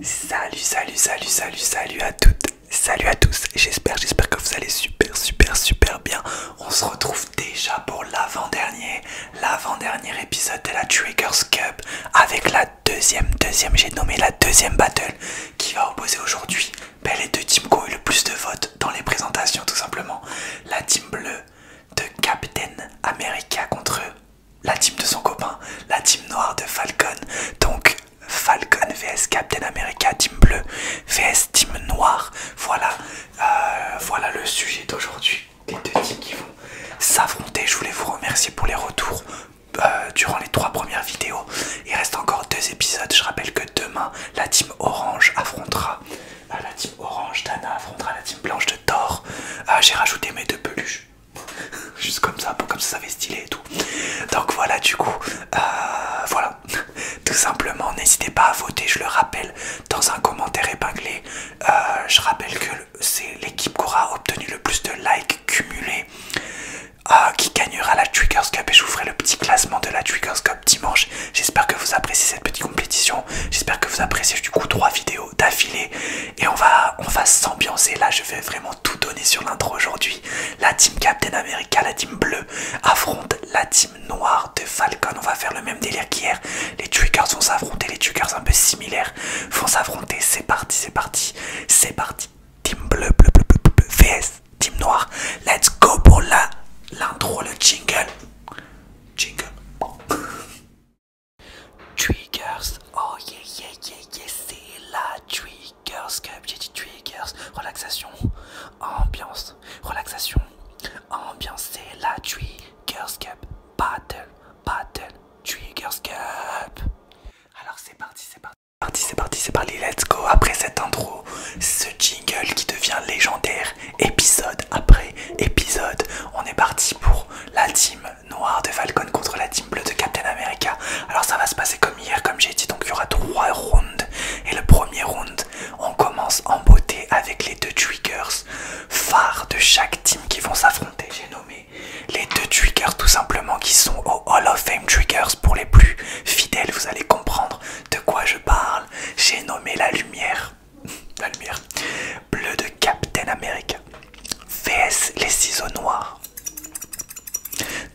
Salut, salut, salut, salut, salut à toutes, salut à tous. J'espère, j'espère que vous allez super, super, super bien. On se retrouve déjà pour l'avant-dernier, l'avant-dernier épisode de la Triggers Cup avec la deuxième, deuxième, j'ai nommé la deuxième battle qui va opposer aujourd'hui ben, les deux teams qui ont eu le plus de votes dans les présentations tout simplement. La team bleue de Captain America contre eux la team de son copain, la team noire de Falcon. Donc Falcon vs Captain America, team bleu vs team noire. Voilà, euh, voilà le sujet d'aujourd'hui. Les deux teams qui vont s'affronter. Je voulais vous remercier pour les retours euh, durant les trois premières vidéos. Il reste encore deux épisodes. Je rappelle que demain, la team orange affrontera euh, la team orange. Dana affrontera la team blanche de Thor. J'ai rajouté mes deux peluches. Juste comme ça, pour comme ça, ça fait stylé et tout. Donc voilà, du coup, euh, voilà. Tout simplement, n'hésitez pas à voter, je le rappelle, dans un commentaire épinglé. Euh, je rappelle que c'est l'équipe qui aura obtenu le plus de likes cumulés euh, qui gagnera la Triggers Cup. Et je vous ferai le petit classement de la Triggers Cup dimanche. J'espère que vous appréciez cette petite compétition. J'espère que vous appréciez du coup trois vidéos d'affilée. Et on va, on va s'ambiancer. Là, je vais vraiment tout donner sur l'intro aujourd'hui. La team Captain America, la team bleue, affronte la team noire de Falcon. On va faire le même délire qu'hier. Les Triggers vont s'affronter, les Triggers un peu similaires vont s'affronter. C'est parti, c'est parti, c'est parti. Team bleu, bleu, bleu, bleu, bleu, VS, team noire. Let's go pour l'intro, le jingle. Jingle. Triggers, oh yeah yeah yeah yeah, c'est la Triggers Cup, j'ai dit Triggers, relaxation, ambiance, relaxation, ambiance, c'est la Triggers Cup, battle, battle, Triggers Cup. Alors c'est parti, c'est parti. C'est parti, c'est parti, c'est parti, let's go Après cette intro, ce jingle qui devient légendaire, épisode après épisode, on est parti pour la team Noir de Falcon contre la team bleue de Captain America. Alors ça va se passer comme hier, comme j'ai dit, donc il y aura trois rounds. Et le premier round, on commence en beauté avec les deux triggers phares de chaque team qui vont s'affronter. J'ai nommé les deux triggers tout simplement qui sont au Hall of Fame triggers pour les plus fidèles. Vous allez comprendre de quoi je parle. J'ai nommé la lumière, la lumière bleue de Captain America. VS les ciseaux noirs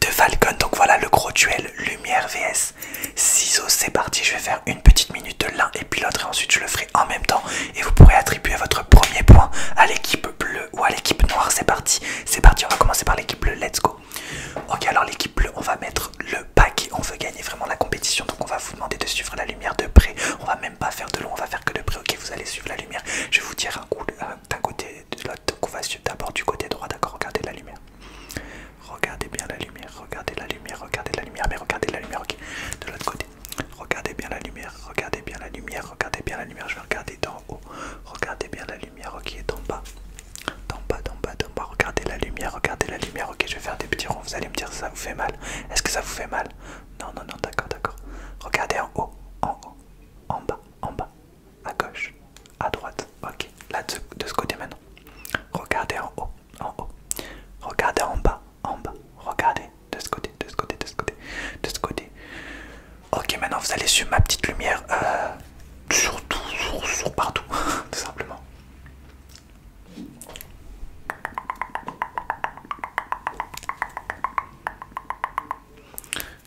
de Falcon. Donc voilà le gros duel lumière VS ciseaux. C'est parti. Je vais faire une petite minute de l'un et puis l'autre et ensuite je le ferai en même temps. Et vous pourrez attribuer votre premier point à l'équipe bleue ou à l'équipe noire. C'est parti. C'est parti. On va commencer par l'équipe bleue. Let's go. Ok alors l'équipe bleue on va mettre le pack On veut gagner vraiment la compétition. Donc on va vous demander de suivre la lumière de près. On va même pas faire de long. On va faire que de près. Ok vous allez suivre la lumière. Je vais vous dire un coup d'un côté, de l'autre on va d'abord du côté droit, d'accord Regardez la lumière. Regardez bien la lumière, regardez la lumière, regardez la lumière, mais regardez la lumière, ok De l'autre côté, regardez bien la lumière, regardez bien la lumière, regardez bien la lumière, je vais regarder d'en haut, regardez bien la lumière, ok, et en bas, en bas, d'en bas, d'en bas, regardez la lumière, regardez la lumière, ok, je vais faire des petits ronds, vous allez me dire ça vous fait mal, est-ce que ça vous fait mal Non, non, non, d'accord, d'accord, regardez en haut, en haut, en bas, en bas, à gauche, à droite. Ok, là de ce côté maintenant. Regardez en haut, en haut. Regardez en bas, en bas. Regardez de ce côté, de ce côté, de ce côté, de ce côté. Ok, maintenant vous allez sur ma petite lumière, euh, sur tout, sur partout, tout simplement.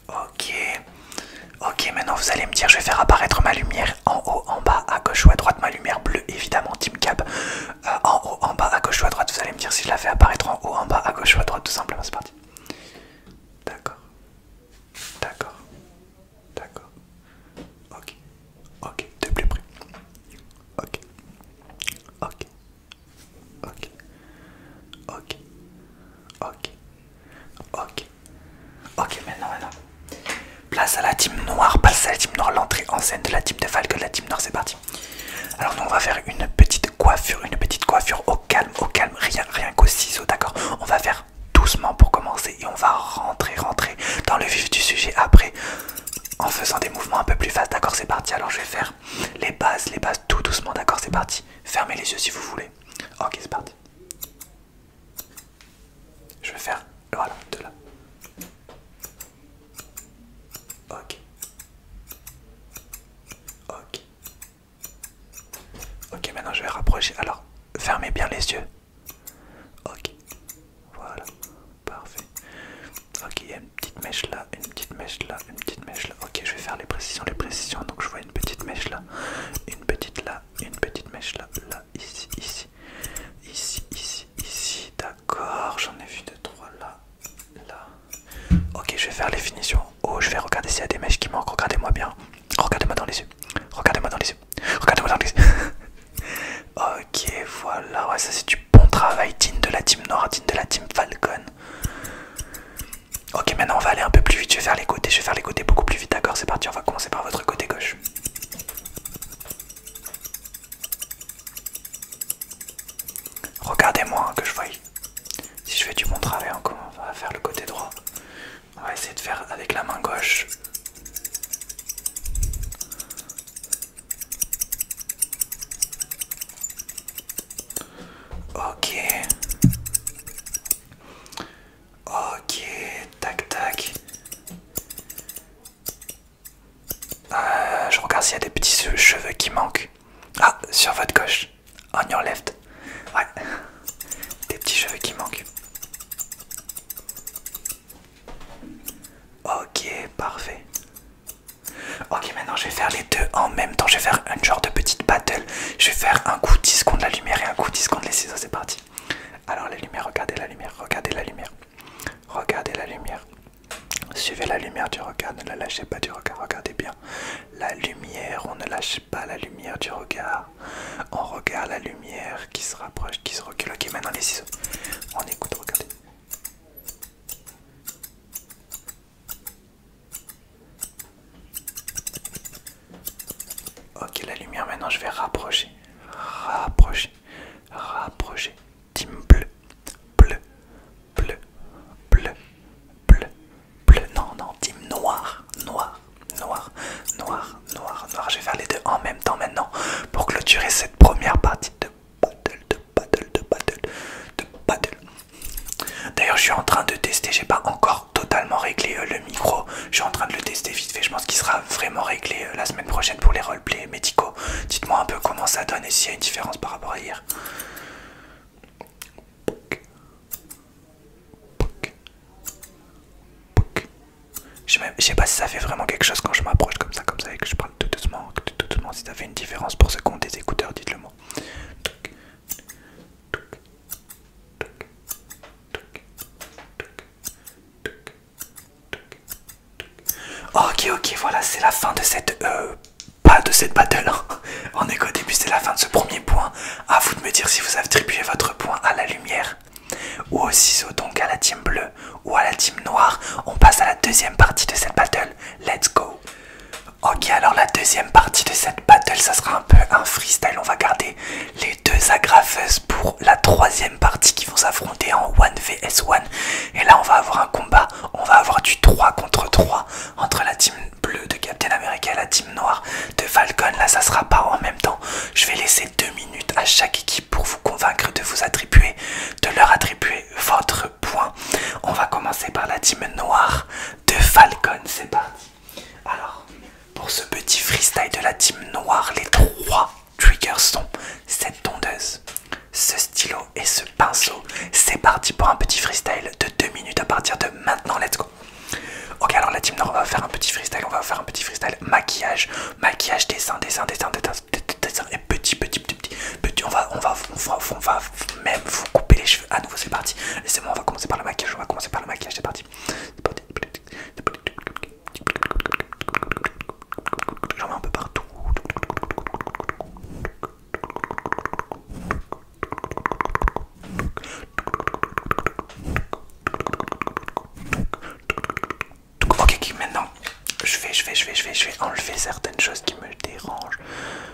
Ok. Ok, maintenant vous allez me dire, je vais faire apparaître ma lumière en haut, en bas, à gauche ou à droite. Ma lumière bleue, évidemment, Team Cap. Euh, en haut, en bas, à gauche ou à droite. Vous allez me dire si je la fais apparaître en haut, en bas, à gauche ou à droite, tout simplement. C'est parti. D'accord. D'accord. D'accord. Ok. Ok. De plus près. Ok. Ok. Ok. Ok. Ok. Ok. Ok, maintenant, maintenant. Place à la team noire, place à la team noire, l'entrée en scène de la team de Falco, de la team noire, c'est parti. Alors nous on va faire une petite coiffure, une petite coiffure au calme, au calme, rien, rien qu'au ciseau, d'accord On va faire doucement pour commencer et on va rentrer, rentrer dans le vif du sujet après en faisant des mouvements un peu plus fast, d'accord C'est parti, alors je vais faire les bases, les bases, tout doucement, d'accord, c'est parti. Fermez les yeux si vous voulez. Ok, c'est parti. Je vais faire, voilà, de là. Ok. Ok. Ok, maintenant je vais rapprocher. Alors, fermez bien les yeux. Ok. Voilà. Parfait. Ok, une petite mèche là, une petite mèche là, une petite mèche là. Ok, je vais faire les précisions, les précisions. Donc je vois une petite mèche là, une petite là, une petite mèche là, là, ici, ici, ici, ici, ici. D'accord, j'en ai vu deux, trois là, là. Ok, je vais faire les finitions. Oh, je vais regarder s'il y a des mèches qui manquent. Regardez-moi bien. Regardez-moi dans les yeux. Regardez-moi dans les yeux. Regardez-moi dans les yeux. ok, voilà. Ouais, ça c'est du bon travail. Digne de la team nord, digne de la team Falcon. Ok, maintenant on va aller un peu plus vite. Je vais faire les côtés, je vais faire les côtés beaucoup plus vite. D'accord, c'est parti. On va commencer par votre côté gauche. Regardez-moi hein, que je voie. Si je fais du bon travail, hein, encore, on va faire le côté droit. On va essayer de faire avec la main gauche. Ok. Ok, tac tac. Euh, je regarde s'il y a des petits cheveux qui manquent. Ah, sur votre gauche. On your left. Ouais. Des petits cheveux qui manquent. Ok, parfait. Ok, maintenant je vais faire les deux en même temps. Je vais faire un genre de petite battle. Je vais faire un coup 10 secondes la lumière et un coup 10 secondes les ciseaux. C'est parti. Alors, la lumière, regardez la lumière, regardez la lumière. Regardez la lumière. Suivez la lumière du regard, ne la lâchez pas du regard, regardez bien. La lumière, on ne lâche pas la lumière du regard. On regarde la lumière qui se rapproche, qui se recule. Ok, maintenant les ciseaux. On écoute, regardez. Ok, la lumière maintenant, je vais rapprocher, rapprocher, rapprocher. Team bleu, bleu, bleu, bleu, bleu, bleu. Non, non, team noir, noir, noir, noir, noir, noir. Je vais faire les deux en même temps maintenant pour clôturer cette première partie de battle, de battle, de battle, de battle. D'ailleurs, je suis en train de tester, j'ai pas encore totalement réglé euh, le micro. Je suis en train de le tester vite fait, je pense qu'il sera vraiment réglé euh, la semaine prochaine pour les roleplays médicaux. Dites-moi un peu comment ça donne et s'il y a une différence par rapport à hier. Je sais pas si ça fait vraiment quelque chose quand je m'approche comme ça, comme ça, et que je parle tout doucement, tout doucement. Si ça fait une différence pour ceux qui ont des écouteurs, dites-le moi. Ok, ok, voilà, c'est la fin de cette... Euh, de cette battle. Hein. On est qu'au début, c'est la fin de ce premier point. À vous de me dire si vous attribuez votre point à la lumière ou au ciseau, donc à la team bleue ou à la team noire. On passe à la deuxième partie de cette battle. Let's go. Ok, alors la deuxième partie de cette battle, ça sera un peu un freestyle. On va garder les deux agrafeuses pour la troisième partie qui vont s'affronter en 1 vs 1. Et là, on va avoir un combat. On va avoir du 3 contre 3 entre la team bleue de Captain America et la team noire de Falcon. Là, ça sera pas en même temps. Je vais laisser deux minutes à chaque équipe pour vous convaincre de vous attribuer, de leur attribuer votre point On va commencer par la team noire de Falcon. C'est parti. Alors, pour ce petit freestyle de la team noire, les trois triggers sont cette tondeuse, ce stylo et ce pinceau. C'est parti pour un petit freestyle de deux minutes à partir de maintenant. Let's go. Ok, alors la team noire, on va faire un petit freestyle. On va faire un petit freestyle maquillage, maquillage, dessin, dessin, dessin, dessin, dessin, dessin et petit, petit, petit, petit. petit on, va, on va on, va, même vous couper les cheveux à nouveau c'est parti laissez-moi on va commencer par le maquillage on va commencer par le maquillage c'est parti j'en mets un peu partout Ok, maintenant, je vais, je vais, je vais, je vais, je vais enlever certaines choses qui me dérangent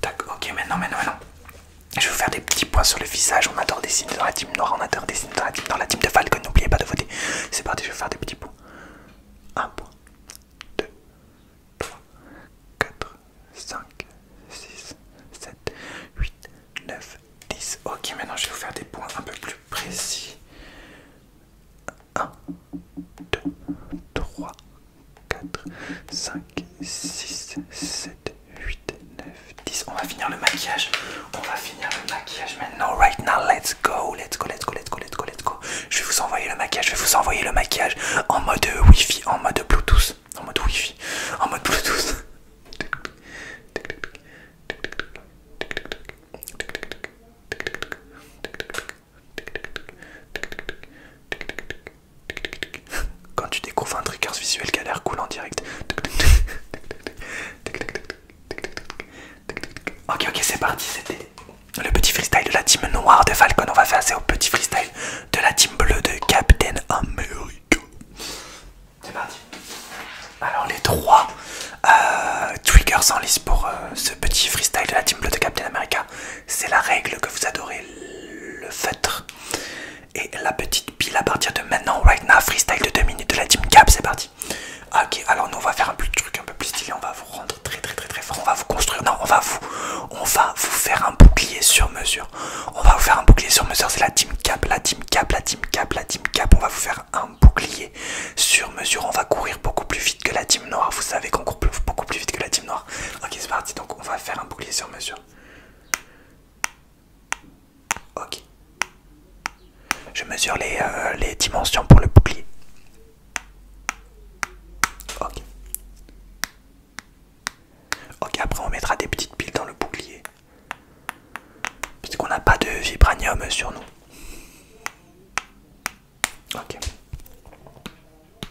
Tac, ok, maintenant, maintenant, Je vais vous faire des petits points sur le visage. On adore dessiner dans la team noire, on adore dessiner dans la team, la team de Falcon. N'oubliez pas de voter. C'est parti, je vais faire des petits points. 1 point, 2, 3, 4, 5, 6, 7, 8, 9, 10. Ok, maintenant je vais vous faire des points un peu plus précis. 1, 2, 3, 4, 5, 6, 7, 8, 9, 10. On va finir le maquillage. On va finir le maquillage maintenant. Right now, let's go. Let's go, let's go, let's go, let's go, Je vais vous envoyer le maquillage. Je vais vous envoyer le maquillage en mode wifi, en mode Bluetooth. En mode wifi. En mode Bluetooth. Quand tu découvres un trigger visuel qui a l'air cool en direct. Ok, ok, c'est parti, c'était le petit freestyle de la team noire de Falcon. On va faire assez au petit freestyle de la team bleue de Captain America. C'est parti. Alors, les trois euh, triggers en liste pour euh, ce petit freestyle de la team bleue de Captain America c'est la règle que vous adorez, le feutre. Et la petite pile à partir de maintenant, right now, freestyle de 2 minutes de la team cap, c'est parti. Ah, ok, alors nous on va faire un truc un peu plus stylé, on va vous rendre très très très très fort, on va vous construire, non, on va vous, on va vous faire un bouclier sur mesure. On va vous faire un bouclier sur mesure, c'est la team cap, la team cap, la team cap, la team cap, on va vous faire un bouclier sur mesure, on va courir beaucoup plus vite que la team noire, vous savez qu'on court beaucoup plus vite que la team noire. Ok, c'est parti. Donc, on va faire un bouclier sur mesure. Ok. Je mesure les, euh, les dimensions pour le bouclier. Ok. Ok, après, on mettra des petites piles dans le bouclier. Puisqu'on n'a pas de vibranium sur nous. Ok.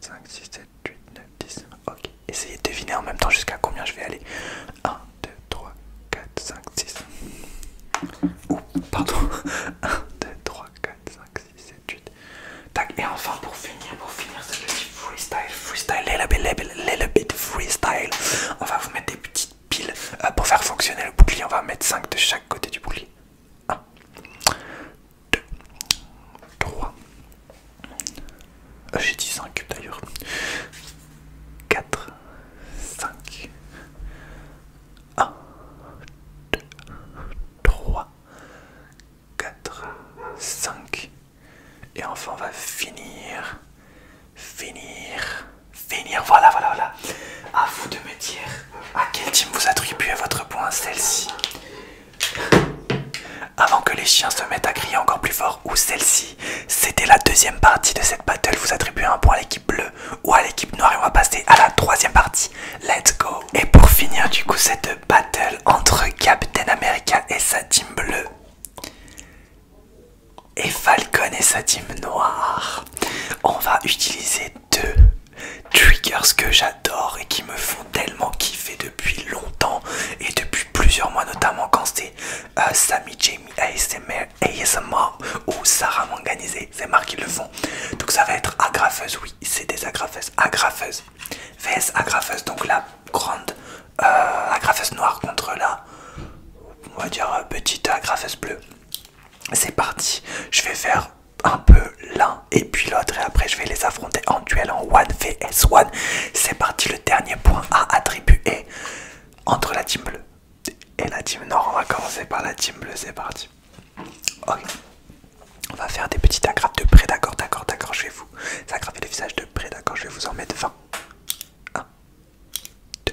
5, 6, 7, 8, 9, 10. Ok, essayez de deviner en même temps jusqu'à combien je vais aller. 1, 2, 3, 4, 5, 6. Ouh, pardon. 1, 2, 3, 4, 5, 6, 7, 8. Tac, et enfin pour finir, pour finir ce petit freestyle, freestyle, little bit bit, freestyle. On va vous mettre des petites piles euh, pour faire fonctionner le bouclier. On va mettre 5 de chaque côté du bouclier. 1, 2, 3, euh, j'ai dit 5 d'ailleurs, 4, 5, 1, 2, 3, 4, 5, et enfin on va finir, finir, finir, voilà, voilà, voilà. À vous de me dire à quel team vous attribuez votre point, celle-ci. Avant que les chiens se mettent à crier encore plus fort, ou celle-ci, c'était la deuxième partie de cette battle. Vous attribuez un point à l'équipe bleue ou à l'équipe noire et on va passer à la troisième partie. Let's go Et pour finir du coup cette battle entre Captain America et sa team bleue et Falcon et sa team noire, on va utiliser deux triggers que j'adore et qui me font tellement kiffer depuis longtemps et depuis plusieurs mois, notamment quand c'est euh, Sami Jamie ASMR, ASMR ou Sarah Manganisé, c'est marre qui le font. Donc ça va être agrafeuse, oui, c'est des agrafeuses, agrafeuse, VS agrafeuse, donc la grande euh, agrafeuse noire contre la, on va dire, euh, petite agrafeuse bleue. C'est parti, je vais faire un peu l'un et puis l'autre et après je vais les affronter en duel en 1 vs 1. C'est parti, le dernier point à attribuer entre la team bleue et la team nord. On va commencer par la team bleue, c'est parti. Ok. On va faire des petites agrafes de près, d'accord, d'accord, d'accord, je vais vous agrafer le visage de près, d'accord, je vais vous en mettre 20. 1, 2,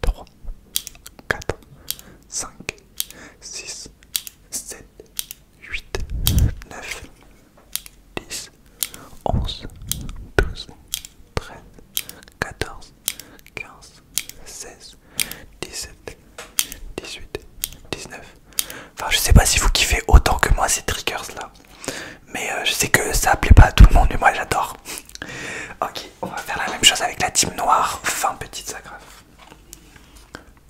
3, 4, 5, 6, 7, 8, 9, 10, 11, 12, 13, 14, 15, 16, 17, 18, 19. Enfin, je sais pas si vous kiffez autant que moi ces triggers là. Mais euh, je sais que ça plaît pas à tout le monde, mais moi j'adore. ok, on va faire la même chose avec la team noire. Fin petite, ça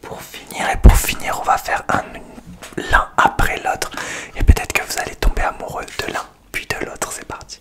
pour finir, et pour finir, on va faire l'un après l'autre. Et peut-être que vous allez tomber amoureux de l'un puis de l'autre. C'est parti.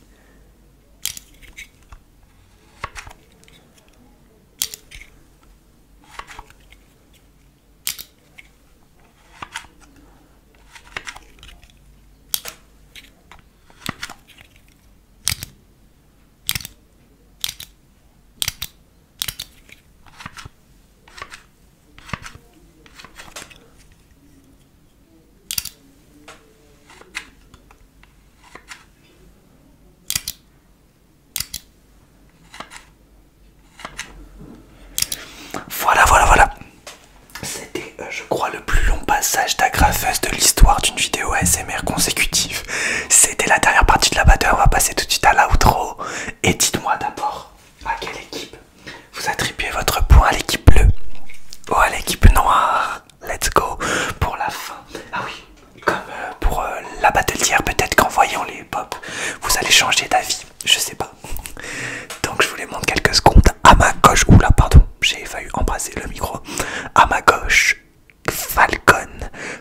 Voilà, voilà, voilà. C'était, euh, je crois, le plus long passage d'agrafeuse de l'histoire d'une vidéo SMR consécutive. C'était la dernière partie de la batteur. On va passer tout de suite à l'outro. Et dites-moi d'abord à quelle équipe vous attribuez votre point à l'équipe bleue ou à l'équipe noire. Let's go pour la fin. Ah oui, comme euh, pour euh, la battle peut-être qu'en voyant les pop, vous allez changer d'avis. Je sais pas. Donc je vous les montre quelques secondes. À ma gauche, oula, pardon, j'ai failli embrasser le micro. À ma gauche, Falcon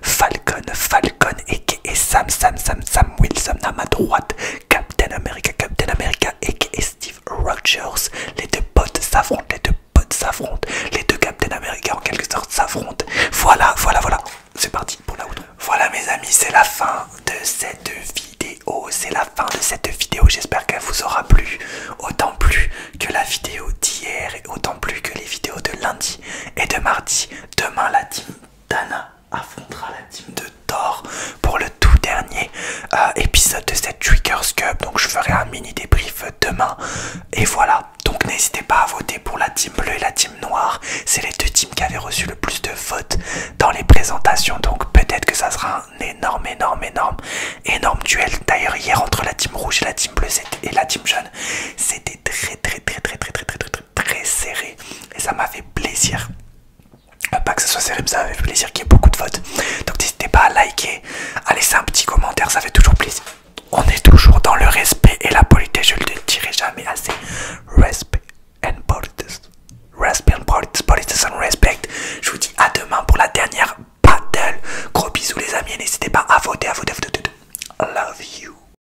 Falcon, Falcon et Sam, Sam, Sam, Sam Wilson à ma droite, Captain America, Captain America et Steve Rogers. Les deux potes s'affrontent, les deux potes s'affrontent, les deux Captain America en quelque sorte s'affrontent. Voilà, voilà, voilà. C'est parti pour la route Voilà mes amis, c'est la fin de cette vidéo. C'est la fin de cette vidéo. J'espère qu'elle vous aura plu. Autant plus que la vidéo d'hier et autant plus que les vidéos de lundi et de mardi. Demain lundi Dana affrontera la team de Thor pour le tout dernier euh, épisode de cette Triggers Cup. Donc je ferai un mini débrief demain. Et voilà. Donc n'hésitez pas à voter pour la team bleue et la team noire. C'est les deux teams qui avaient reçu le plus de votes dans les présentations. Donc peut-être que ça sera un énorme, énorme, énorme, énorme duel. D'ailleurs hier entre la team rouge et la team bleue et la team jaune, c'était très, très, très, très, très, très, très, très très serré et ça m'a fait plaisir. Euh, pas que ce soit serré, mais ça m'a fait plaisir qu'il y ait beaucoup de votes. Donc n'hésitez pas à liker, à laisser un petit commentaire, ça fait toujours plaisir. On est toujours dans le respect et la politesse, je ne le dirai jamais assez. Respect and politesse. Respect and politesse, politesse and respect. Je vous dis à demain pour la dernière battle. Gros bisous les amis, n'hésitez pas à voter, à à voter. Love you.